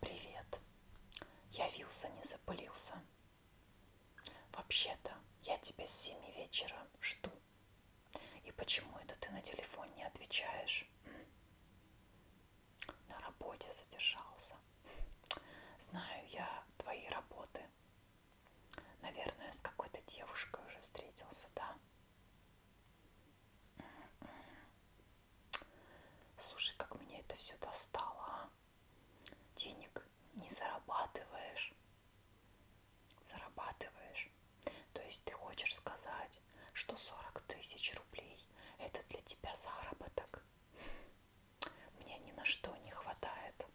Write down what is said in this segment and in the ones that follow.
Привет. Явился, не запылился. Вообще-то я тебя с семи вечера жду. И почему это ты на телефон не отвечаешь? На работе задержался. Знаю я твои работы. Наверное, с какой-то девушкой уже встретился, да? Слушай, как меня это все достало, а? Денег не зарабатываешь. Зарабатываешь. То есть ты хочешь сказать, что 40 тысяч рублей это для тебя заработок. Мне ни на что не хватает.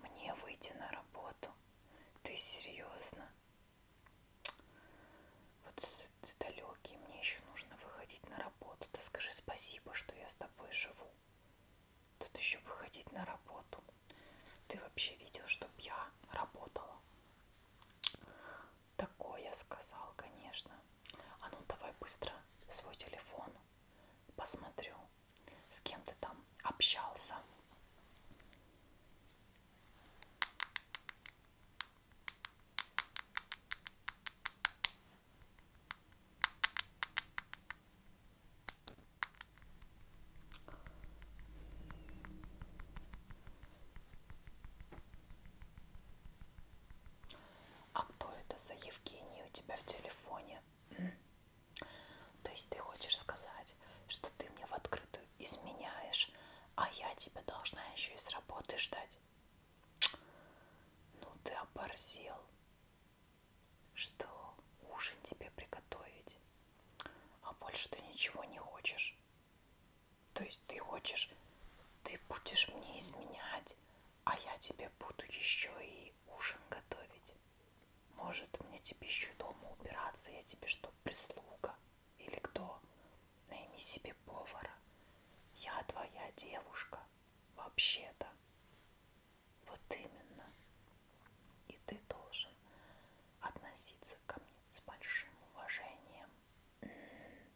Мне выйти на работу. Ты серьезно? Вот ты далекий, мне еще нужно выходить на работу. Ты скажи спасибо, что я с тобой живу. Тут еще выходить на работу. Ты вообще видел, чтоб я работала? Такое сказал, конечно. А ну давай быстро свой телефон посмотрю, с кем ты там общался. А кто это за Евгений у тебя в телефоне? То есть ты хочешь сказать, сказать, что ты мне в открытую изменяешь, а я тебя должна еще и с работы ждать. Ну ты оборзел. Что, ужин тебе приготовить? А больше ты ничего не хочешь. То есть ты хочешь, ты будешь мне изменять, а я тебе буду еще и ужин готовить. Может, мне тебе еще дома убираться? Я тебе что, прислуга? Или кто? Найми себе повара. Я твоя девушка. Вообще-то. Вот именно. И ты должен относиться ко мне с большим уважением. М -м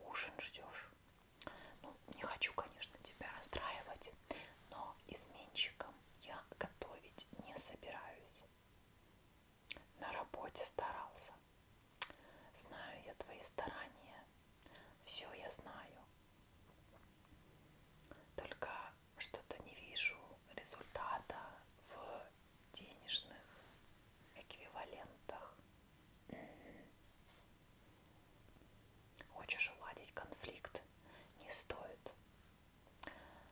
-м. Ужин ждешь. Ну не хочу, конечно, тебя расстраивать, но изменщиком я готовить не собираюсь. На работе старался. Знаю я твои старания. Все я знаю. Только что-то не вижу результата в денежных эквивалентах. Хочешь уладить конфликт? Не стоит.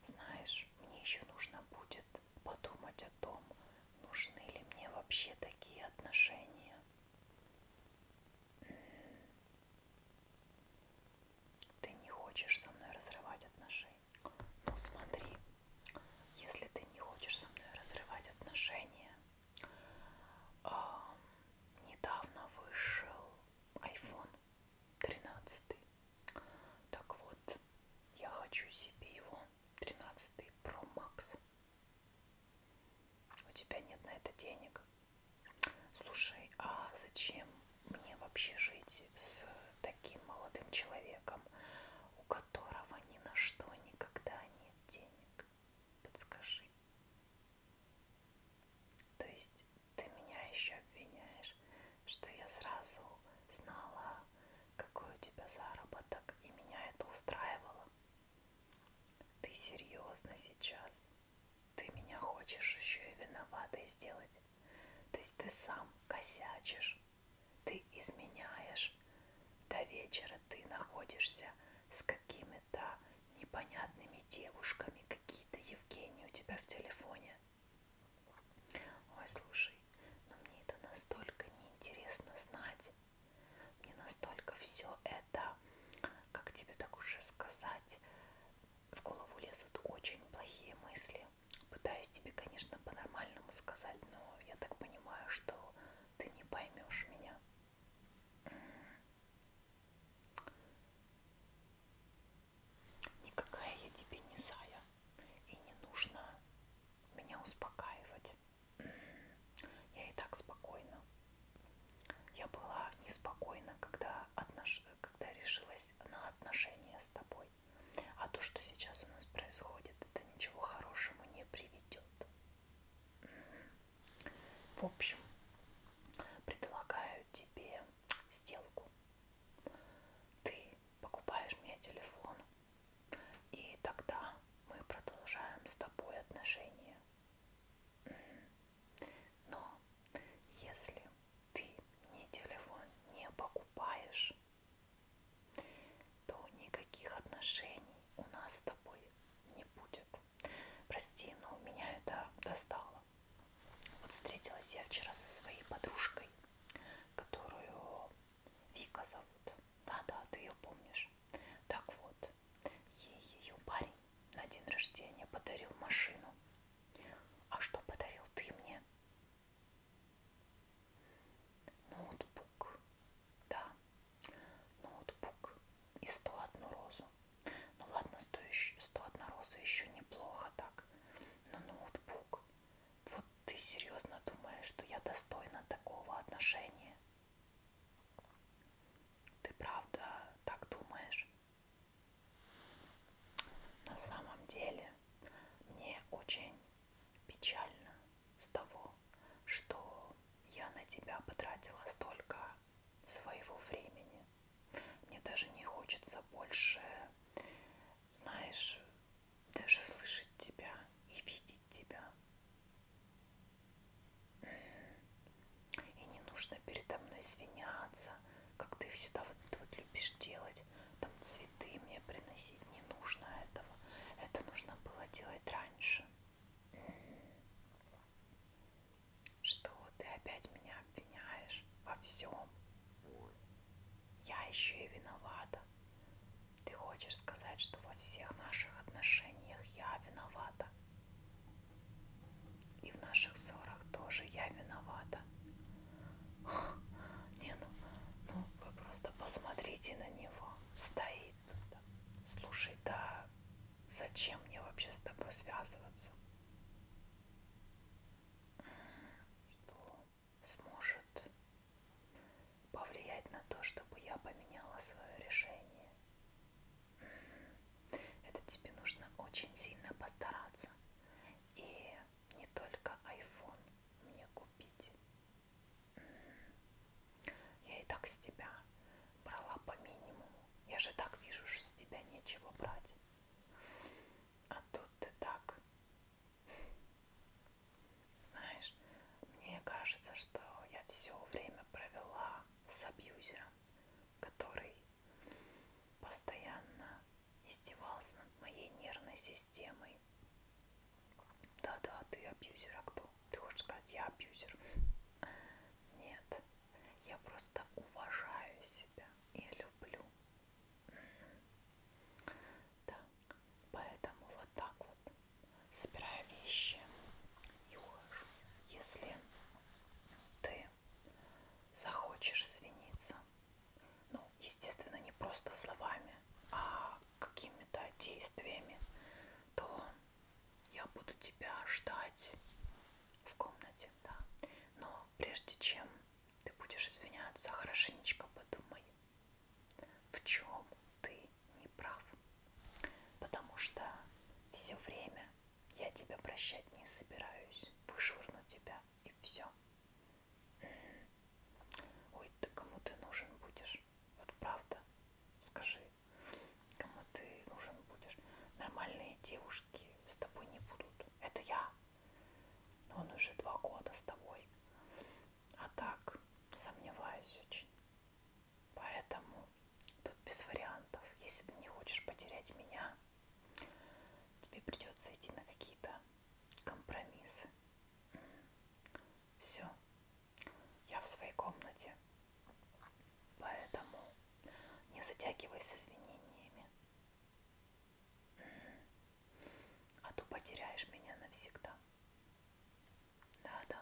Знаешь, мне еще нужно будет подумать о том, нужны ли мне вообще такие отношения. Ты не хочешь со мной разрывать отношения. Ну смотри, если ты не хочешь со мной разрывать отношения, а, недавно вышел iPhone 13. Так вот, я хочу себе его 13 Pro Max. У тебя нет на это денег. Слушай, а зачем мне вообще жить с таким молодым человеком, у которого ни на что никогда нет денег? подскажи. То есть ты меня еще обвиняешь, что я сразу знала, какой у тебя заработок, и меня это устраивало. Ты серьезно сейчас? Ты меня хочешь еще и виноватой сделать? То есть ты сам косячишь, ты изменяешь знаешь. До вечера ты находишься с какими-то непонятными девушками. Какие-то Евгении у тебя в телефоне. Ой, слушай, но ну мне это настолько неинтересно знать. Мне настолько все это, как тебе так уже сказать, в голову лезут очень плохие мысли. Пытаюсь тебе, конечно, по-нормальному сказать, но я так понимаю, что ты не поймешь меня. Никакая я тебе не зая, и не нужно меня успокаивать. Я и так спокойна. Я была неспокойна, когда, отнош... когда решилась на отношения с тобой. А то, что сейчас у нас происходит, это ничего хорошему не приведет идет. В общем, предлагаю тебе сделку. Ты покупаешь мне телефон, и тогда мы продолжаем с тобой отношения. Но если ты мне телефон не покупаешь, то никаких отношений у нас с тобой не будет. Прости, но меня это достало. Вот встретилась я вчера со своей подружкой, которую Вика зовут. Да-да, ты ее помнишь. Так вот, ей ее парень на день рождения подарил машину. А что подарил ты мне? Ноутбук. Да, ноутбук и 101 розу. Ну ладно, 101 роза еще неплохо так. Но ноутбук. Вот ты серьезно думаешь, что я достойна такого отношения? Ты правда так думаешь? На самом деле мне очень печально с того, что я на тебя потратила столько своего времени. Мне даже не хочется больше, знаешь, даже слышать тебя и видеть тебя. И не нужно передо мной извиняться, как ты всегда вот, вот любишь делать, там цветы мне приносить не нужно этого, это нужно было делать раньше. Что ты опять меня обвиняешь во всем? Я еще и виновата. Ты хочешь сказать, что во всех наших отношениях я виновата? И в наших ссорах тоже я виновата. Не, ну, ну вы просто посмотрите на него. Стоит, там. слушай, да зачем мне вообще с тобой связываться? Что сможет повлиять на то, чтобы я поменяла свое решение? Это тебе нужно очень сильно постараться и не только iPhone мне купить. Я и так с тебя брала по минимуму. Я же так вижу, что с тебя нечего брать. А тут ты так. Знаешь, мне кажется, что я все время провела с абьюзером который постоянно издевался над моей нервной системой. Да-да, ты абьюзер, а кто? Ты хочешь сказать, я абьюзер? Нет, я просто уважаю себя и люблю. Да, поэтому вот так вот собираю вещи и ухожу. Если ты ты захочешь извиниться. Ну, естественно, не просто словами, а какими-то действиями, то я буду тебя ждать в комнате, да. Но прежде чем ты будешь извиняться, хорошенечко подумай, в чем ты не прав. Потому что все время я тебя прощать не собираюсь. Вышвырну тебя, и все. Ой, ты кому ты нужен будешь? Вот правда, скажи, кому ты нужен будешь? Нормальные девушки с тобой не будут. Это я. Он уже два года с тобой. А так, сомневаюсь очень. Поэтому тут без вариантов. Если ты не хочешь потерять меня, тебе придется идти на какие-то компромиссы. Все. Я в своей комнате. Поэтому не затягивай с извинениями. А то потеряешь меня навсегда. Да-да.